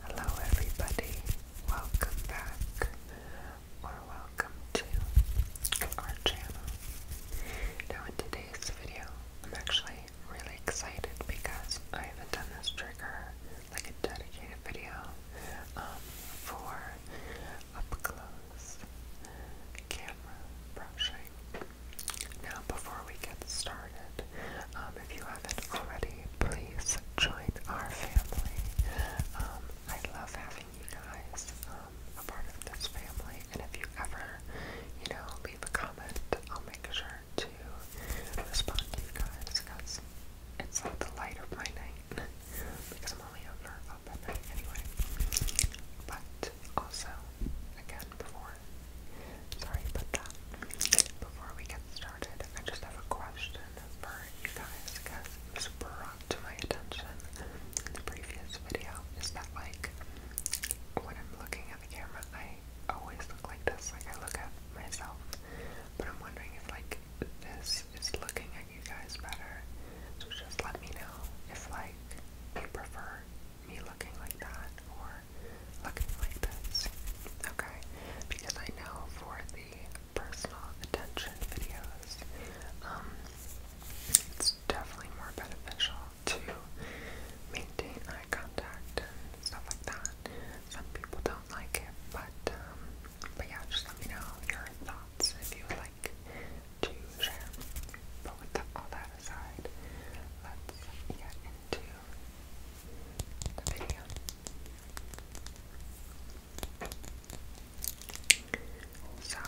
Hello, everybody. Welcome back, or welcome to our channel. Now, in today's video, I'm actually really excited because I haven't done this trigger like a dedicated video um, for up close camera brushing. Now, before we get started, um, if you haven't already, please join our family. Um, I love having you guys um, a part of this family, and if you ever, you know, leave a comment, I'll make sure to respond to you guys because it's like the light of my night because I'm only over up at night anyway. But it also again before sorry about that. Before we get started, I just have a question for you guys because it was brought to my attention in the previous video. Is that like when I'm looking at the camera I always look like this, like I look at myself. But I'm wondering if like this is looking at you guys better. So just let me know if like you prefer me looking like that or looking like this, okay? Because I know for the personal attention videos, um, it's definitely more beneficial to maintain eye contact and stuff like that. Some people don't like it, but um, but yeah, just let me know your thoughts if you would like to share. But with the, all that that aside, So,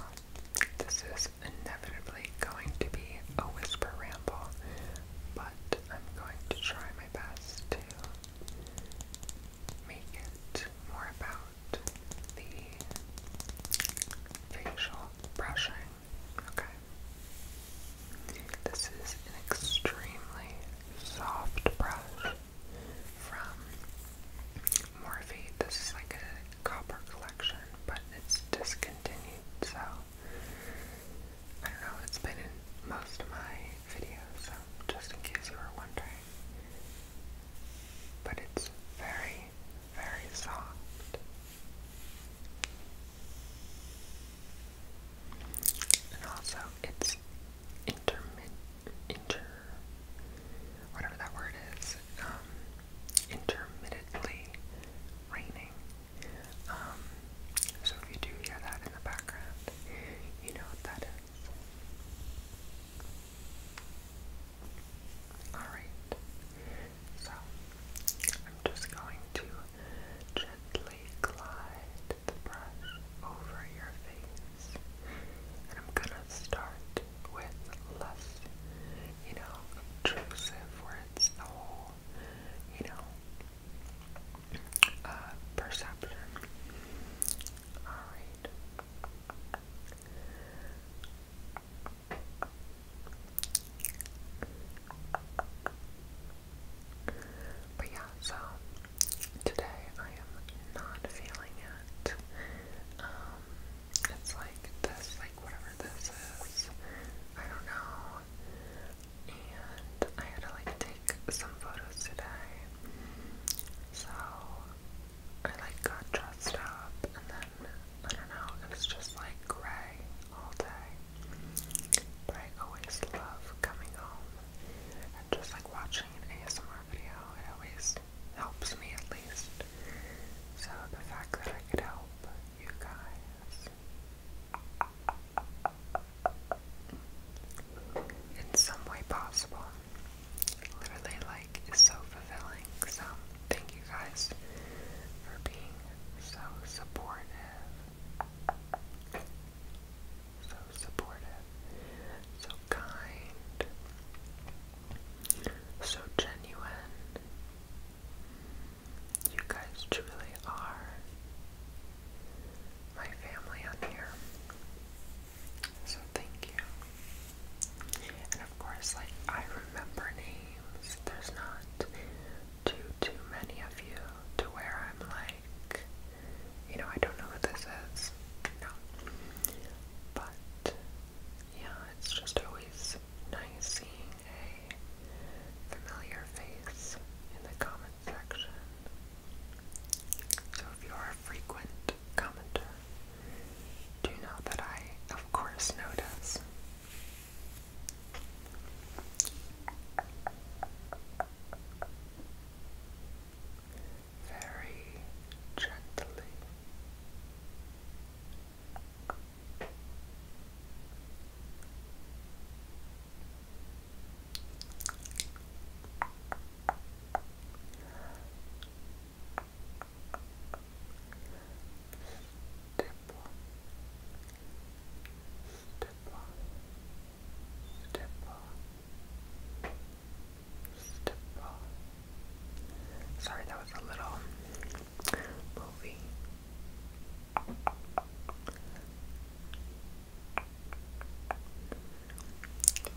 this is inevitably going to be a whisper ramble, but I'm going to try my best to make it more about the facial brushing Okay. This is an extremely soft brush from Morphe. This is like a copper collection, but it's discontinued, so I don't know, it's been in most of my videos, just in case you were wondering. But it's very very soft. And also, it's intermittent, inter, whatever that word is, um, intermittently raining. Um, so if you do hear that in the background, you know what that is. Alright. So I'm just going to gently glide the brush over your face. And I'm gonna start with less, you know, obtrusive where it's you know, uh, perception. Alright. But yeah, so today I am not feeling it. Um, it's like this, like whatever this is. I don't know. And I had to like take some photos today. So I like got dressed up and then I don't know, it just like gray all day. But I always love coming home and just like watching an ASMR video. It always helps me at least. So the fact that I could help you guys in some way possible literally like is so fulfilling. So thank you guys for being so supportive. So supportive, so kind, so genuine. You guys truly are my family on here. So thank you and of course, like, I remember names. There's not too, too many of you to where I'm like, you know, I don't know what this is. No. But, yeah, it's just always nice seeing a familiar face in the comment section. So if you are a frequent commenter, do know that I, of course, notice very gently step step step step Sorry, that was a little movie.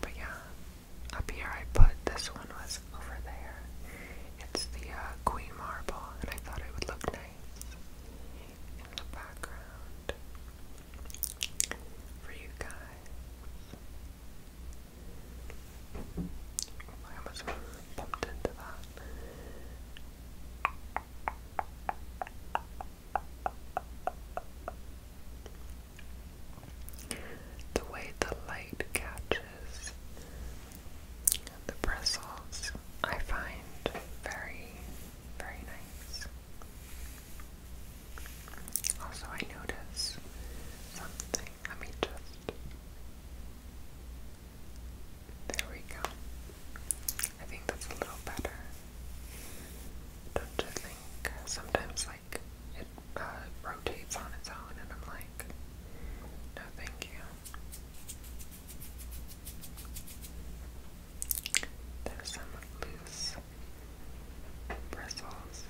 But yeah, up here I put this one was over there. It's the uh, Queen Marble, and I thought it would look nice in the background for you guys. I almost bumped into that. The way the light catches the bristles I find very, very nice. Also, I notice something. Let me just. There we go. I think that's a little better. Don't you think? Sometimes, like, it uh, rotates on its own, and I'm like, no, thank you. There's some loose bristles.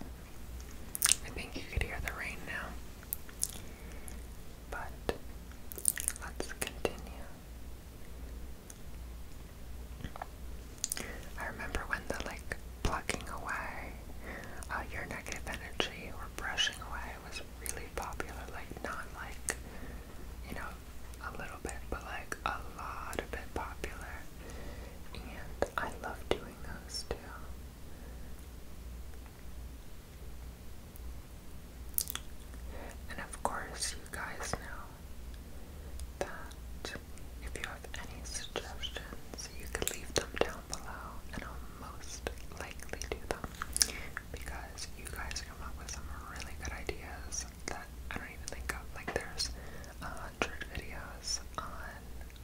I think you could hear the rain now. But let's continue. I remember when the like plucking away uh, your negative energy or brushing away it was really popular, like not like, you know, a little bit, but like a lot of bit popular. And I love doing those too. And of course, you guys know that if you have any suggestions, you can leave them down below and I'll most likely do them because you guys come up with some really good ideas that I don't even think of. Like there's a hundred videos on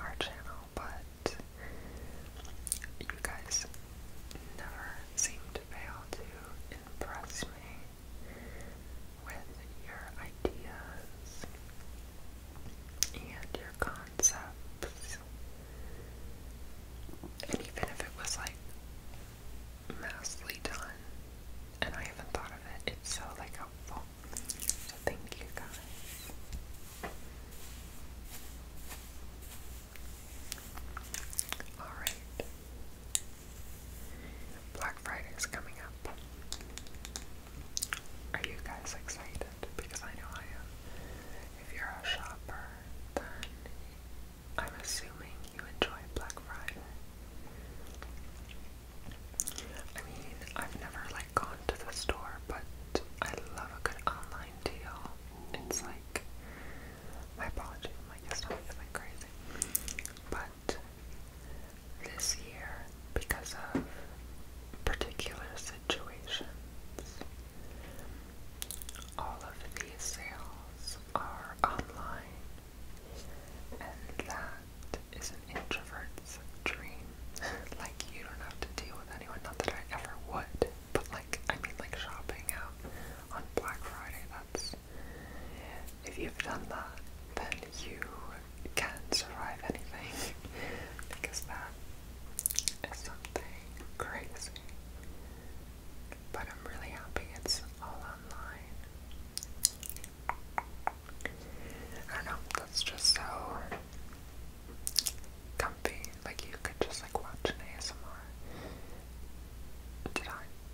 our channel, but you guys never seem to fail to impress me with your ideas and your concepts. And even if it was like massively done and I haven't thought of it, it's so like helpful. So thank you guys. Alright. Black Friday is coming up. Are you guys excited? Because I know I am. If you're a shopper, then I'm assuming you enjoy Black Friday. I mean, I've never like gone to the store, but I love a good online deal. It's like my apologies, my stomach is like crazy. But this year, because of particular situations, all of these sales are online, and that is an introvert's dream. like, you don't have to deal with anyone, not that I ever would, but like, I mean, like shopping out on Black Friday, that's. If you've done that, then you can survive anything because that is something crazy. But I'm really happy it's all online. I don't know, that's just so comfy. Like you could just like watch an ASMR did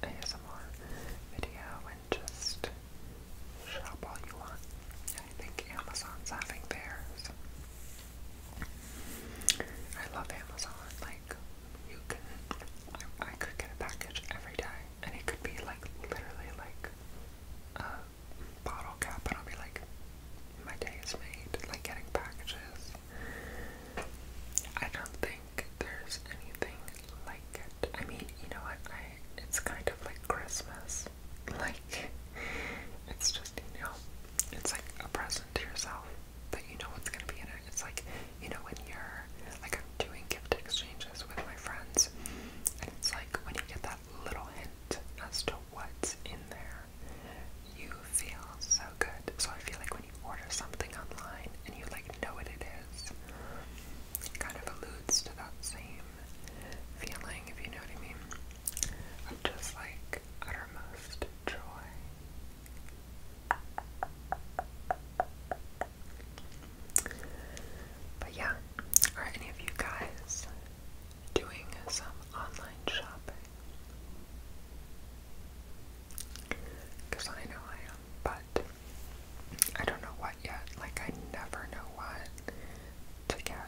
ASMR video and just shop all you want. I think Amazon's having theirs. I love Amazon. Like, you can, I, could get a package every day, and it could be like literally like a bottle cap, and I'll be like, my day is made. Like getting packages. I don't think there's anything like it. I mean, you know what? I it's kind of like Christmas. Like like it's just you know it's like a present to yourself that you know what's gonna be in it. It's like you know when you're like I'm doing gift exchanges with my friends and it's like when you get that little hint as to what's in there, you feel so good. So I feel like when you order something online and you like know what it is, it kind of alludes to that same feeling, if you know what I mean. I'm just like uttermost joy. But yeah, are any of you guys doing some online shopping? Because I know I am, but I don't know what yet. Like, I never know what to get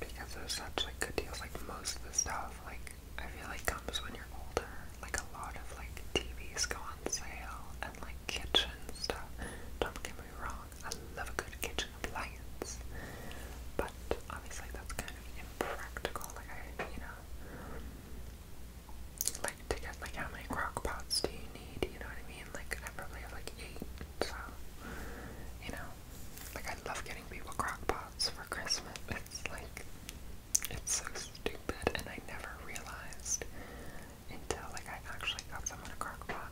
because there's such like good deals. Like most of the stuff, like I feel like comes when you're older. Like a lot of like TVs go on sale and like kitchen stuff. Don't get me wrong, I love a good kitchen appliance, but obviously that's kind of impractical. Like I, you know, like to get like how many crock do you need? You know what I mean? Like I probably have like eight, so you know. Like, I love getting people crockpots for Christmas. It's like, it's so stupid, and I never realized until, like, I actually got someone a crockpot pot,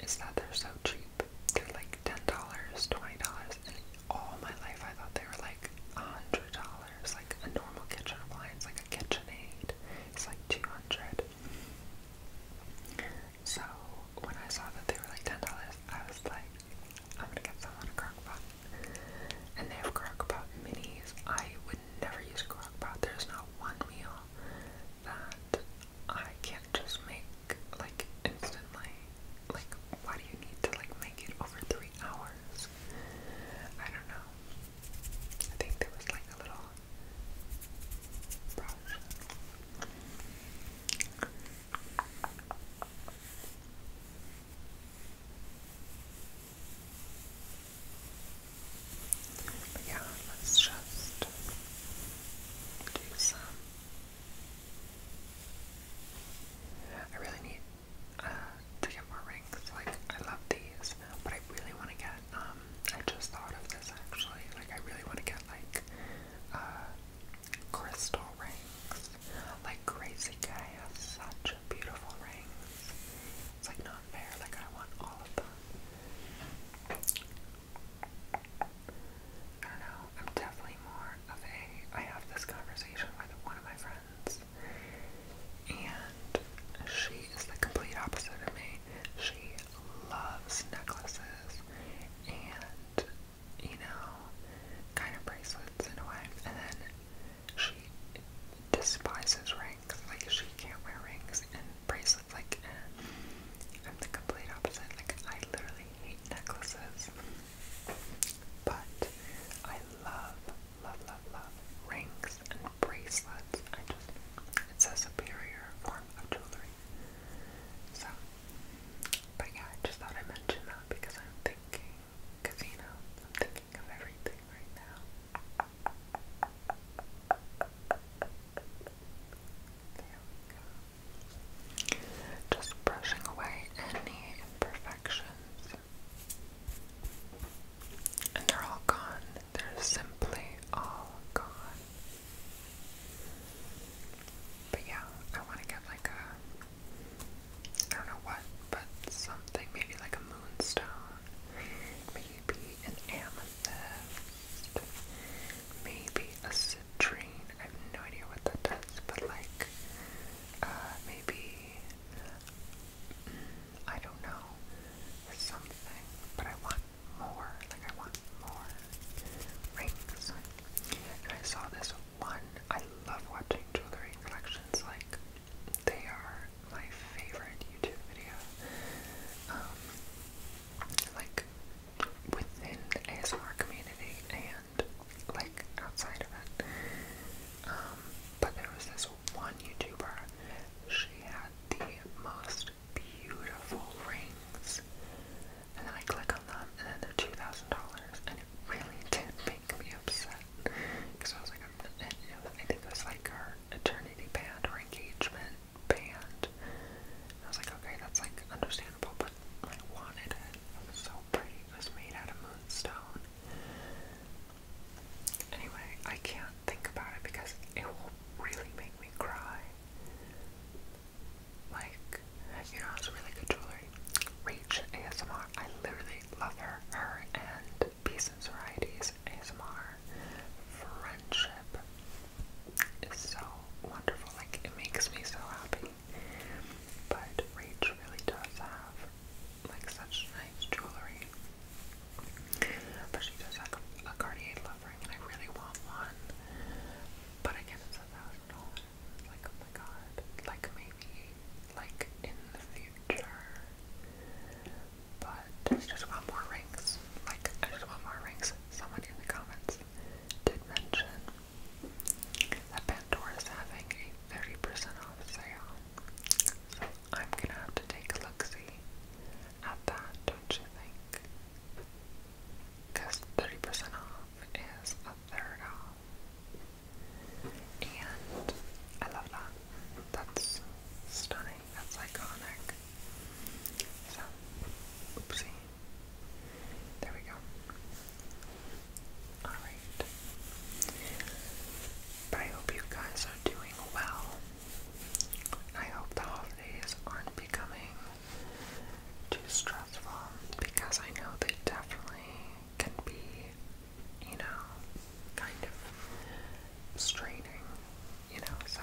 is that they're so cheap. They're like $10, $20, and all my life I thought they were like $100, like a normal kitchen appliance, like a KitchenAid. It's like 200 so when I saw that they were like ten dollars, I was like, I'm gonna get someone a crock pot. And they have crock pot minis. I would never use a crock pot. There's not one meal that I can't just make like instantly. Like why do you need to like make it over three hours? I don't know. I think there was like a little brush. But yeah, let's just do some. I really need uh, to get more rings. Like I love these, but I really want to get. Um, I just thought of this actually. Like I really want to get like uh, crystal rings. Like Crazy Guy has such beautiful rings. It's like not fair, like I want all of them. I don't know, I'm definitely more of a, I have this conversation with one of my friends and she is the complete opposite of me. She loves necklaces and, you know, kind of bracelets in a way. And then she despises rings. Like, she can't wear rings and bracelets. Like, I'm the complete opposite. Like, I literally hate necklaces. But I love, love, love, love rings and bracelets. I just, it's a superior form of jewelry. So, but yeah, I just thought I'd mention that because I'm thinking casino. I'm thinking of everything right now. There we go. Just brushing away any imperfections. And they're all gone. They're simply all gone. But yeah, I want to get like a, I don't know what, but something, maybe like a moonstone, maybe an amethyst, maybe a citrine, I have no idea what that does, but like, uh, maybe, mm, I don't know, something, but I want more. Like I want more rings. I saw this one. I love watching jewelry collections. Like they are my favorite YouTube video. Um, like within the ASMR community and like outside of it. Um, but there was this one YouTuber. She had the most beautiful rings. And then I click on them, and then they're two thousand dollars, and it really did make me upset because I was like, I'm, and, you know, I think it was like our eternity band or engagement band. I was like, okay, that's like understandable, but I wanted it. It was so pretty. It was made out of moonstone. Anyway, I can't think about it because it will really make me cry. Like, you know, it's really good jewelry. Reach ASMR. I literally love her. Her and Peace and Varieties ASMR. Friendship is so wonderful. Like, it makes me so happy. But Reach really does have, like, such nice jewelry. But she does have a Cartier love ring, and I really want one fun. But again, it's a thousand dollars. Like, oh my god. Like, maybe, like, in the future. But I just want more rings. Like, I just want more rings. Someone in the comments did mention that Pandora is having a 30% off sale. So I'm gonna have to take a look-see at that, don't you think? because 30% off is a third off. And I love that. That's stunning. That's iconic. So, oopsie. There we go. Alright. But I hope you guys are doing well. I hope the holidays aren't becoming too stressful because I know they definitely can be, you know, kind of straining, you know, so.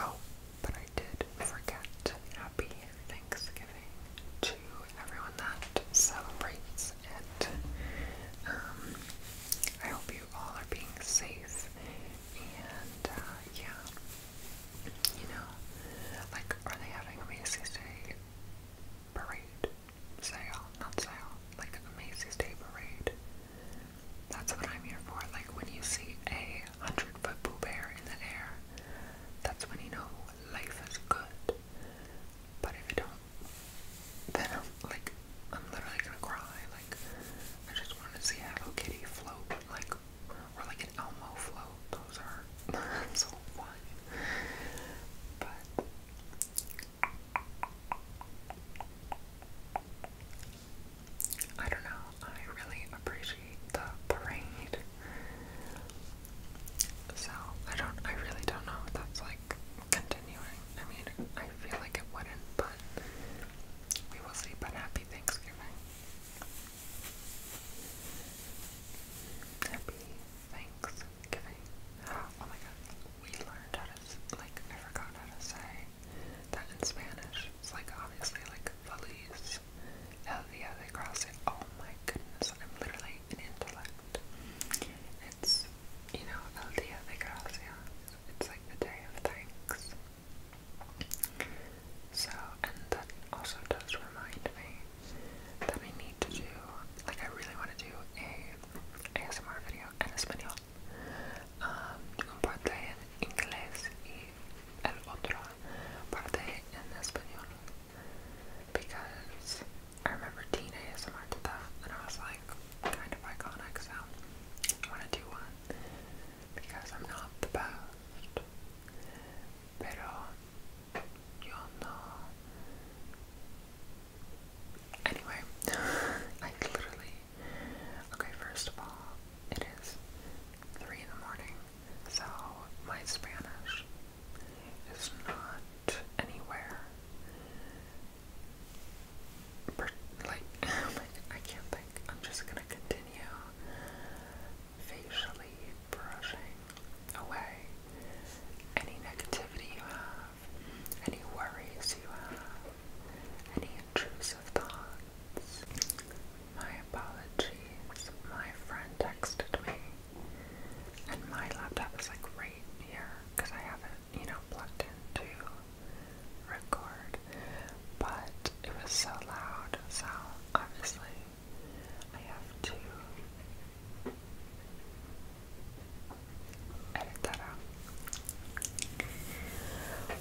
Oh, but I did forget happy Thanksgiving to everyone that celebrates it. Um, I hope you all are being safe and, uh, yeah. You know, like, are they having a Macy's Day parade? Sale, not sale, like a Macy's Day parade. That's what I'm here for. Like, when you see a hundred foot Pooh Bear in the air, that's when you know life is good. But if you don't, then I'm like, I'm literally gonna cry. I just want to see Hello Kitty float, like or like an Elmo float. Those are so fun. But I don't know. I really appreciate the parade. So I don't. I really don't know if that's like continuing. I mean, I feel like it wouldn't, but. We will sleep but happy Thanksgiving. Happy Thanksgiving. Oh my god, we learned how to, like, I forgot how to say that in Spanish. It's like, obviously, like, feliz, el día de gracia. Oh my goodness, I'm literally an intellect. It's, you know, el día de gracia. It's like the day of thanks. So, and that also does remind me that I need to do, like, I really want to do a ASMR video en español. Um, un parte en inglés y el otro parte en español. Because I remember Teen ASMR did that, and I was like, kind of iconic, so I want to do one because I'm not the best. Pero yo no. Anyway, I literally. Okay, first of all, it is three in the morning, so my Spanish is not anywhere like, I can't think. I'm just gonna continue facially brushing away any negativity you have, any worries you have, any intrusive thoughts. My apologies. My friend texted me, and my laptop is like right here because I haven't, you know, plugged into record, but it was so loud, so obviously I have to edit that out.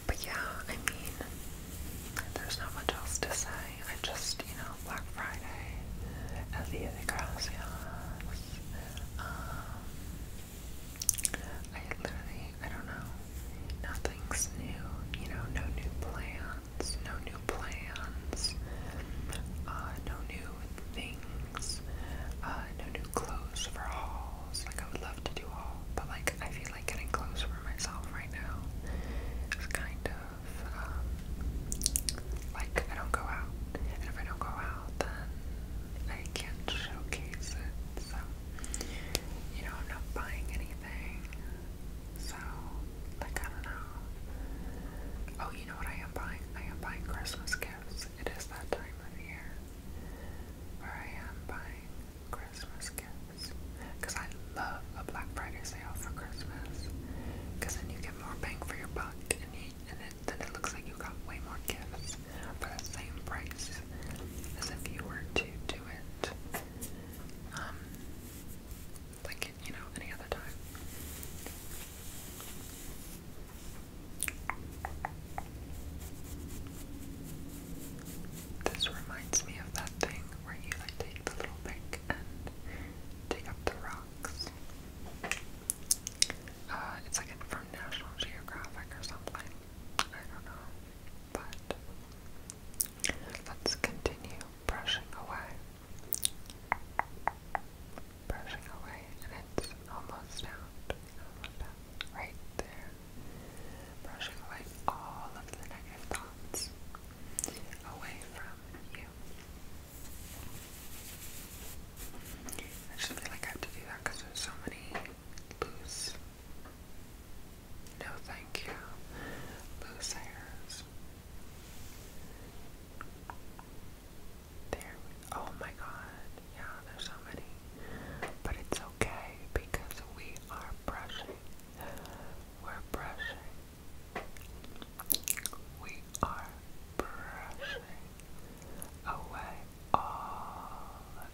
But yeah, I mean, there's not much else to say. I just, you know, Black Friday, El Día de I literally, I don't know. Nothing's new, you know, no new plans, no new plans, uh, no new things, uh, no new clothes for hauls. Like, I would love to do all, but like, I feel like getting clothes for myself right now is kind of, um, like, I don't go out. And if I don't go out, then I can't showcase it, so you know, I'm not buying anything. So, like, I don't know. Oh, you know what I am buying? I am buying Christmas gifts. It is that time of year where I am buying Christmas gifts. Because I love a Black Friday sale for Christmas. Because then you get more bang for your buck and, and it, then it looks like you got way more gifts for the same price as if you were to do it, um, like, you know, any other time. This reminds me of that thing where you like take the little pick and dig up the rocks. Uh, it's like from National Geographic or something. I don't know, but let's continue brushing away. Brushing away, and it's almost out. Almost out. Right there. Brushing away all of the negative thoughts away from you. I just feel like I have to do that because there's so many Lose? No, thank you. Loose hairs. There oh my god. Yeah, there's so many. But it's okay because we are brushing. We're brushing. We are brushing away all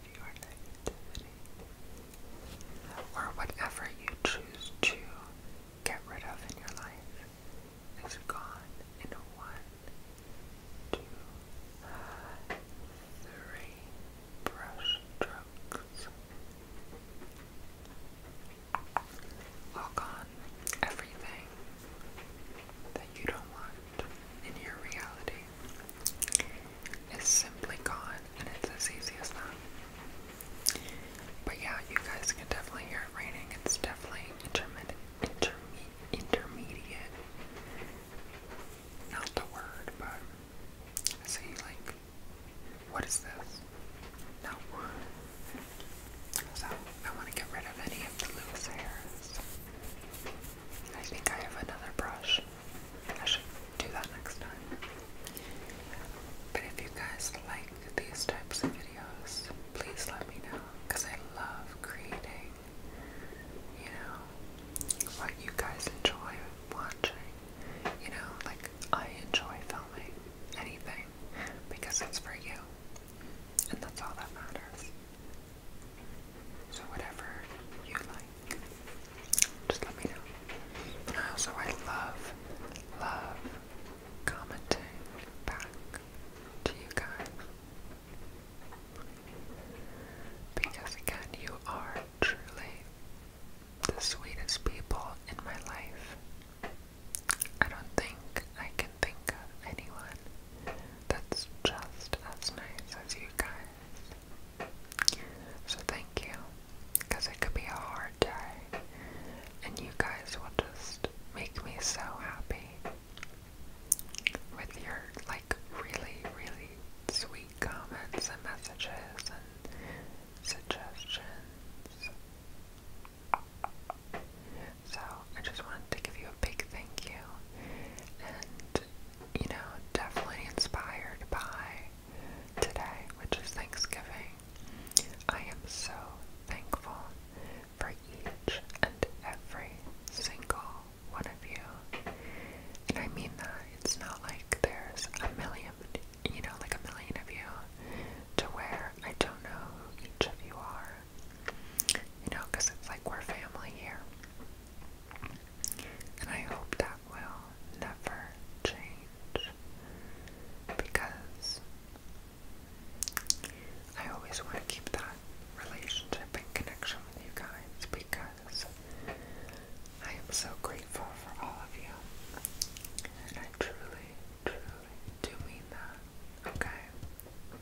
or whatever you choose to get rid of in your life is gone in one, two, three brush strokes. Walk on everything that you don't want in your reality it's simply gone, and it's as easy as that. But yeah, you guys can definitely hear it raining. It's definitely intermittent, intermediate. Not the word, but see, like, what is this? No. So I want to get rid of any of the loose hairs. I think I have another brush. I should do that next time. But if you guys like these types of videos, please let me know because I love creating, you know, what you guys enjoy watching. You know, like I enjoy filming anything because it's for you. And that's all that matters. So whatever you like, just let me know. I also I love, love commenting back to you guys. Because again, you are truly the sweetest people in my life. I don't think I can think of anyone that's just as nice as you guys. So thank you, because it could be a hard day, and you guys will just make me so happy with your, like, really, really sweet comments and messages and suggestions. So I just wanted to give you a big thank you and you know, definitely inspired by today, which is Thanksgiving. I am so thankful for each and every single one of you. And I mean that it's not like there's a million you know, like a million of you to where I don't know who each of you are. You know, because it's like we're family here. And I hope that will never change because I always want to keep that relationship and connection with you guys because I am so grateful for all of you. And I truly, truly do mean that. Okay?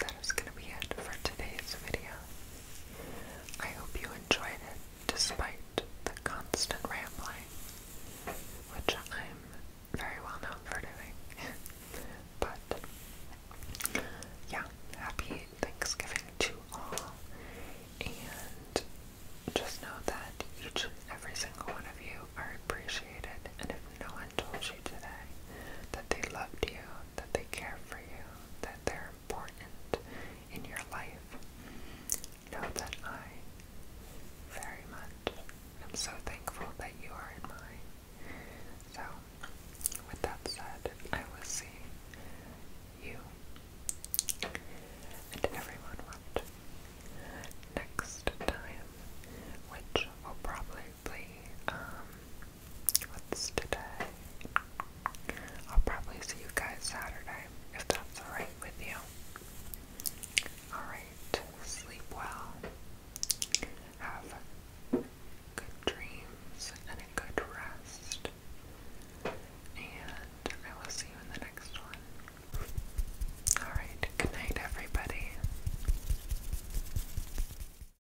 that is going to be it for today's video. I hope you enjoyed it despite the constant rambling, which I'm very well known for doing. but yeah, happy Thanksgiving to all, and just know that each and every single one of you are appreciated, and if no one told you today that they loved you, that they care for you, that they're important in your life. Know that I very much am so thankful that you are in mine. So, with that said, I will see you and everyone watch next time, which will probably probably, um, what's today? I'll probably see you guys Saturday, if that's alright with you. Alright, sleep well. Have good dreams and good rest. And I will see you in the next one. Alright, good night, everybody.